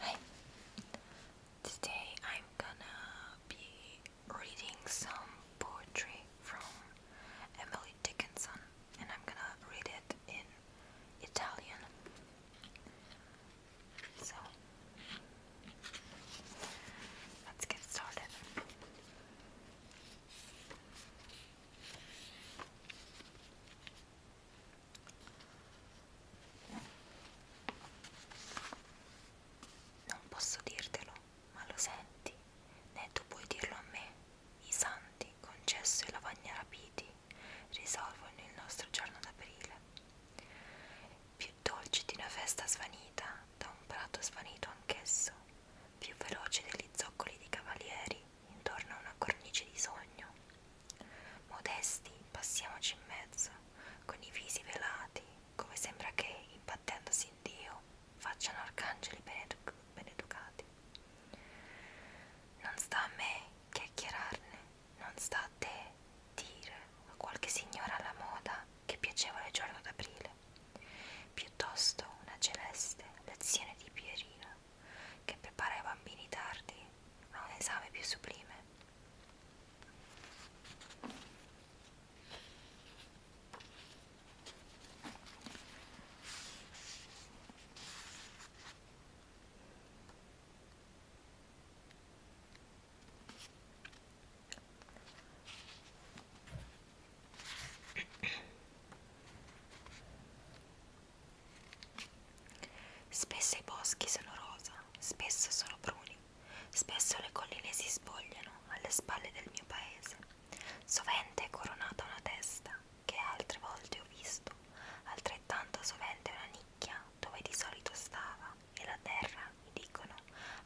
Hi. Today I'm gonna be reading some poetry from Emily Dickinson and I'm gonna read it in Italian. So let's get started. Non posso dirtelo, ma lo senti, né tu puoi dirlo a me. I santi, concesso e lavagna rapiti, risolvono il nostro giorno d'aprile. Più dolce di una festa svanita, da un prato svanito anch'esso, più veloce degli zoccoli di cavalieri intorno a una cornice di sogno. Modesti, passiamoci in mezzo, con i visi velati, come sembra che, imbattendosi in Dio, facciano arcangeli beneduc beneducati. Non sta a me chiacchierarne, non sta a te dire a qualche signora alla moda che piacevole giorno d'aprile, piuttosto una celeste lezione di Pierina che prepara i bambini tardi a un esame più sublime. Spesso i boschi sono rosa, spesso sono bruni, spesso le colline si spogliano alle spalle del mio paese. Sovente è coronata una testa, che altre volte ho visto, altrettanto sovente una nicchia dove di solito stava e la terra, mi dicono,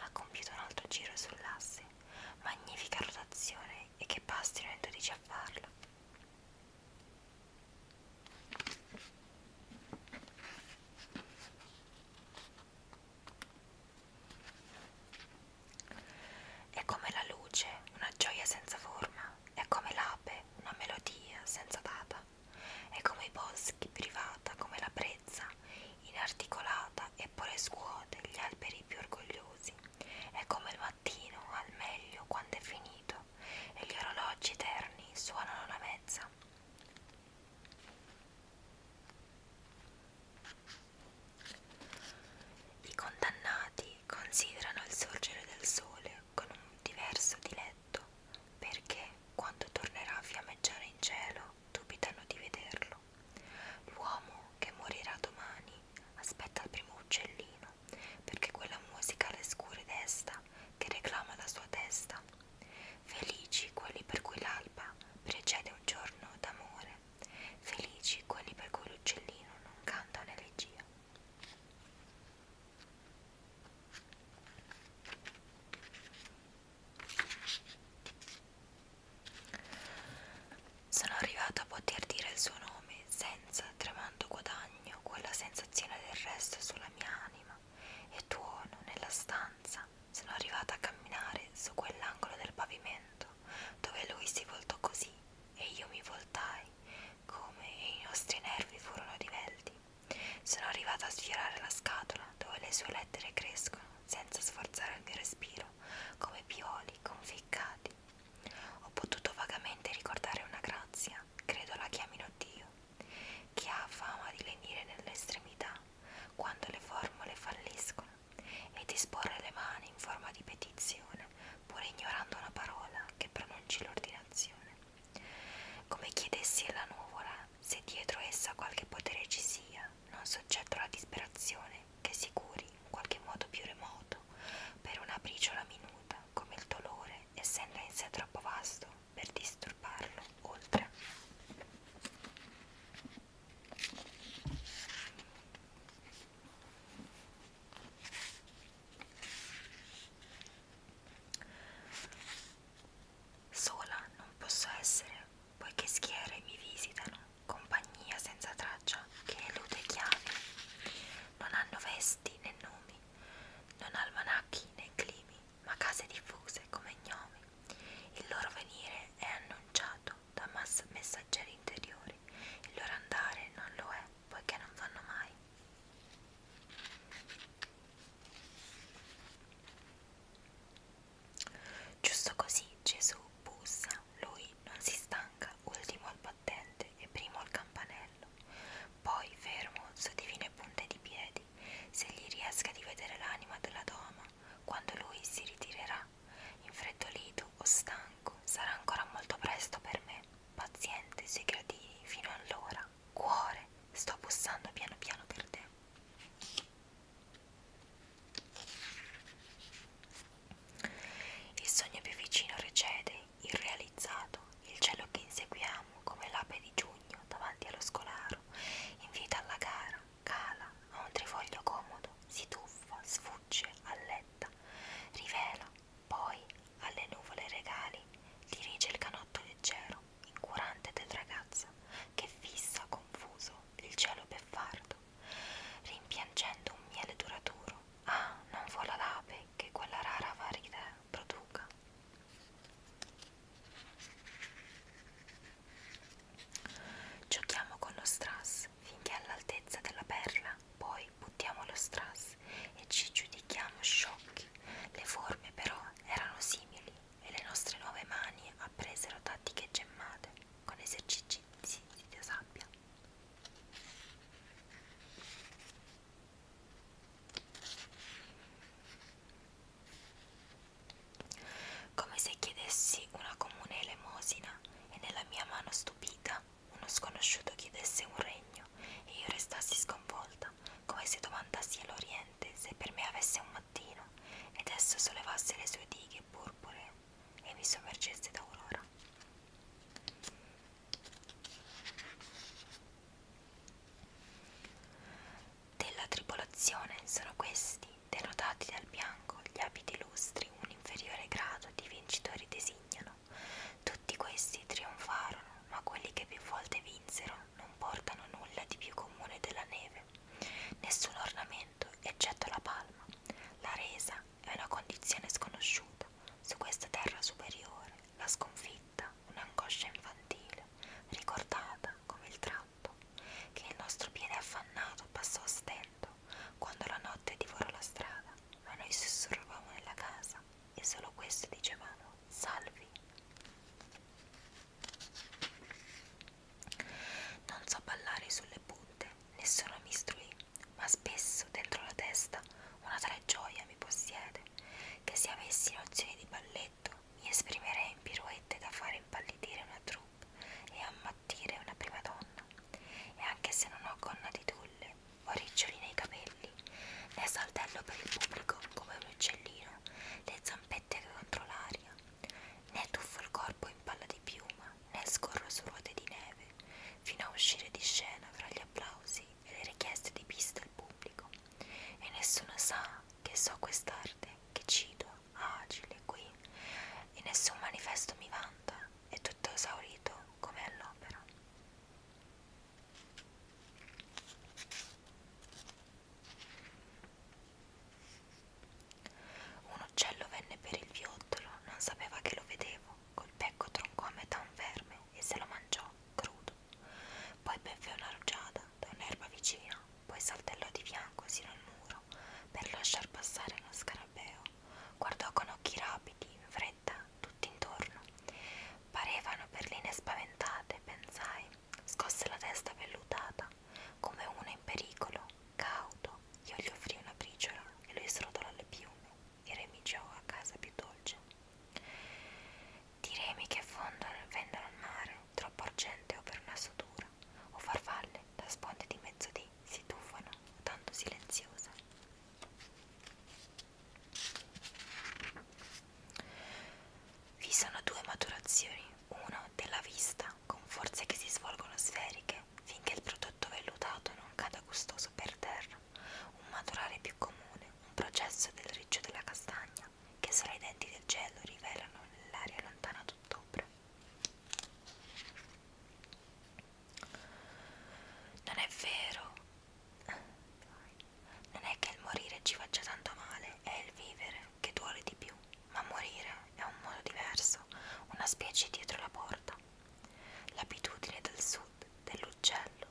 ha compiuto un altro giro sull'asse, magnifica rotazione e che bastino in dodici a farlo. È come la luce, una gioia senza forma, è come l'ape, una melodia senza data, è come i boschi privata, come la brezza, inarticolata eppure scuote gli alberi più orgogliosi, è come il mattino al meglio quando è finito, e gli orologi terni suonano la mezza. I condannati considerano il sorgere del sole con un diverso diletto perché quando tornerà a fiammeggiare in cielo dubitano di vederlo. L'uomo che morirà domani aspetta il primo uccellino perché quella musica le scure desta che reclama la sua testa. Felici quelli per cui l'alba precede un giorno d'amore, felici quelli per cui l'uccellino non canta un'elegia. Sono arrivato a poter dire il suo nome senza tremando guadagno regno quella sensazione del resto sulla mia anima e tuono nella stanza. Sono arrivata a camminare su quell'angolo del pavimento dove lui si voltò così e io mi voltai come i nostri nervi furono divelti. Sono arrivata a sfiorare la scatola dove le sue lettere crescono senza sforzare il mio respiro come pioli conficcati. Ho potuto vagamente ricordare una grazia, credo la chiamino Dio, che ha fama di lenire nell'estremità quando le formule falliscono e di esporre le mani in forma di petizione, pure ignorando una parola che pronunci l'ordinazione. Come chiedessi alla nuvola se dietro essa qualche potere ci sia, non soggetto alla disperazione che si curi in qualche modo più remoto per una briciola minuta come il dolore, essendo in sé troppo vasto per disturbarlo oltre. Sola non posso essere, poiché schiere mi visitano, compagnia senza traccia braccia che elude chiavi, non hanno vesti né nomi, non almanacchi né climi, ma case diffuse come gnomi. Il loro venire è annunciato da messaggeri interiori, il loro andare non lo è, poiché non vanno mai. Giusto così Gesù bussa, lui non si stanca banca, ultimo al battente e primo al campanello. Poi, fermo, su divine punte di piedi, se gli riesca di vedere l'anima della doma, quando lui si ritirerà, infreddolito o stanco, sarà ancora molto presto per me, paziente sui gradini fino allora. Cuore, sto bussando piano piano per te. Il sogno più vicino recede, irrealizzato, il cielo che inseguiamo come l'ape di giugno davanti allo scolaro, invita alla gara, cala a un trifoglio comodo, si tuffa, sfugge, alletta, rivela, poi alle nuvole regali, dirige il canotto leggero, incurante del ragazzo, che fissa confuso il cielo beffardo rimpiangendo un miele duraturo. Ah, non vola l'ape che quella rara varida produca. Giochiamo con lo strass finché è all'altezza della perla, poi buttiamo lo strass e ci giudichiamo sciocchi. Le forme però erano simili e le nostre nuove mani appresero tattiche gemmate con esercizi di sabbia. Come se chiedessi una comune elemosina e nella mia mano stupita uno sconosciuto chiedesse un regno e io restassi sconvolta, come se domandassi all'Oriente se per me avesse un mattino ed esso sollevasse le sue dighe purpure e mi sommergeste d'aurora. Della tribolazione sono questi, denotati dal bianco, gli abiti lustri, un inferiore grado di vincitori designano. Tutti questi trionfarono, ma quelli che più volte vinsero non portano nulla di più comune della neve, nessun ornamento eccetto la palma. La resa è una condizione sconosciuta su questa terra superiore, la sconfitta, un'angoscia infantile, ricordata come il tratto che il nostro piede affannato passò a stento quando la notte divorò la strada, ma noi sussurravamo nella casa e solo questo dicevamo salvi. Non so ballare sulle punte, nessuno mi istruì ma spesso dentro la testa una tale gioia mi possiede che se avessi nozioni di balletto mi esprimerei in pirouette da fare impallidire una troupe e ammattire una prima donna e anche se non ho gonna di tulle o riccioli nei capelli né saltello per il pubblico come un uccellino le zampette contro l'aria né tuffo il corpo in palla di piuma fiamma né scorro su ruote di neve, fino a uscire di scena fra gli applausi e le richieste di pista al pubblico. E nessuno sa che so quest'arte, che cito, agile, qui, e nessun manifesto mi vanta, è tutto esaurito come all'opera. Un uccello venne per il viottolo, non sapeva che lo vedevo, col becco troncò a metà un verme e se lo mangiò, crudo. Poi bevve una rugiada da un'erba vicina, poi saltellò di fianco sino al muro per lasciar passare uno scarabeo. Guardò con occhi rapidi, in fretta, tutto intorno. Parevano perline spaventate, pensai, scosse la testa vellutata, come uno in pericolo Cauto, io gli offrì una briciola e lui srotolò le piume e remiggiò a casa più dolce. Di remi che fondono e vendono al mare, troppo argente o per una sutura, o farfalle da sponde di mezzodì si tuffano, tanto silenziose. Vi sono due maturazioni, una della vista con forze che si svolgono sferiche finché il prodotto vellutato non cada gustoso per terra, un maturare più comune, un processo del riccio della castagna che solo i denti del gelo rivelano nell'aria lontana d'ottobre. Non è vero, non è che il morire ci faccia tanto male, è il vivere che duole di più ma morire è un modo diverso, una specie dietro la porta. L'abitudine del sud dell'uccello,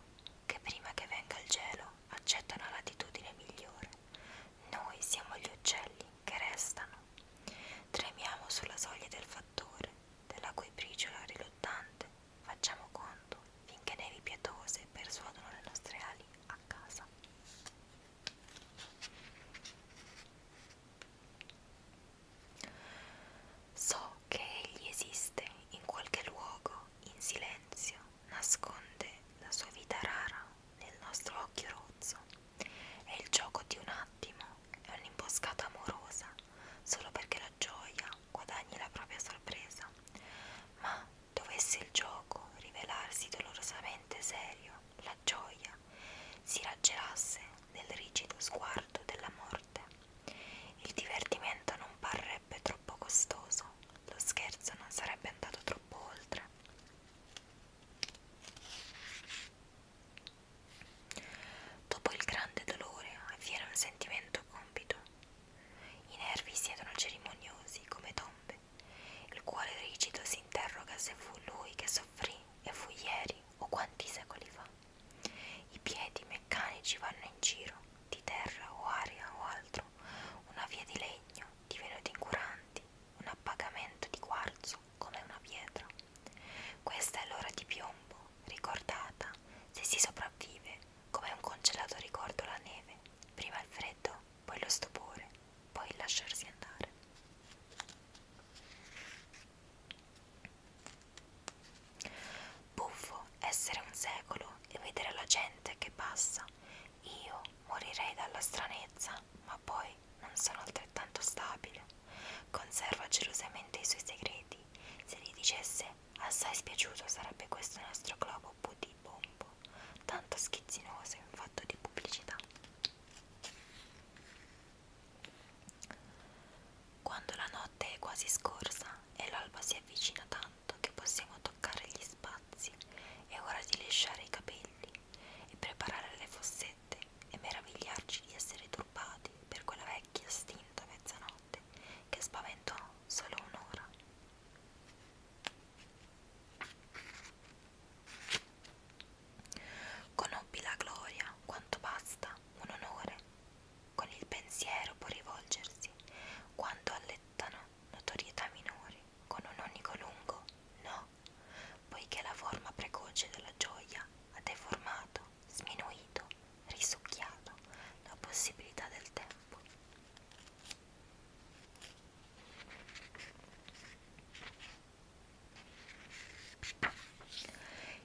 che prima che venga il gelo accetta una latitudine migliore. Noi siamo gli uccelli che restano. Tremiamo sulla soglia del fattore, della cui briciola riluttante facciamo conto finché nevi pietose persuadono le nostre ali a casa. So che egli esiste in qualche luogo, in silenzio, nasconde la sua vita rara nel nostro occhio rozzo. È il gioco di un attimo, è un'imboscata amorosa, solo perché la gioia guadagni la propria sorpresa. Ma dovesse il gioco rivelarsi dolorosamente serio, la gioia si raggelasse nel rigido sguardo della morte. Il divertimento non parrebbe troppo costoso, lo scherzo non sarebbe andato troppo oltre. Dopo il grande dolore avviene un sentimento compito. I nervi siedono cerimoniosi come tombe. Il cuore rigido si interroga se fu lui che soffrì e fu ieri o quanti secoli fa. I piedi meccanici vanno in giro, di terra o aria o altro, una via di legno, di venuti incuranti, un appagamento di quarzo come una pietra. Questa è l'ora di piombo, ricordata, se si sopravvive, come un congelato ricordo la neve, prima il freddo, poi lo stupore, poi lasciarsi andare. Buffo essere un secolo e vedere la gente che passa. Io morirei dalla stranezza, ma poi non sono altrettanto stabile. Conserva gelosamente i suoi segreti. Se gli dicesse assai spiaciuto sarebbe questo nostro globo budibombo, tanto schizzinoso in fatto di pubblicità. Quando la notte è quasi scorsa e l'alba si avvicina tanto che possiamo toccare gli spazi, è ora di lisciare i capelli e preparare le fossette e meravigliarci di essere turbati per quella vecchia stinta mezzanotte che spaventò solo un'ora. Conobbi la gloria, quanto basta, un onore, con il pensiero può rivolgersi, quanto allettano notorietà minori, con un onico lungo, no, poiché la forma precoce della gioia ha deformato, sminuito, risucchiato la possibilità del tempo.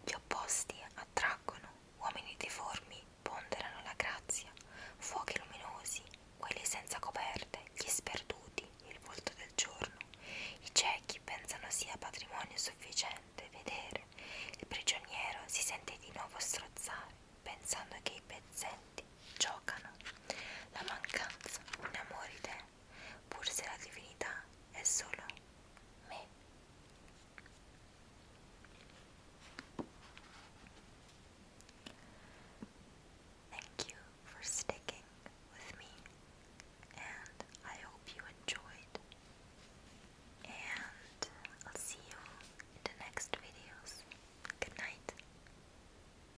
Gli opposti attraggono, uomini deformi ponderano la grazia, fuochi luminosi, quelli senza coperte, gli sperduti, il volto del giorno, i ciechi pensano sia patrimonio sufficiente vedere, il prigioniero si sente di nuovo strozzare, pensando che i pezzenti giocano, la mancanza, un amore idem Thank you for sticking with me, and I hope you enjoyed. And I'll see you in the next videos. Good night.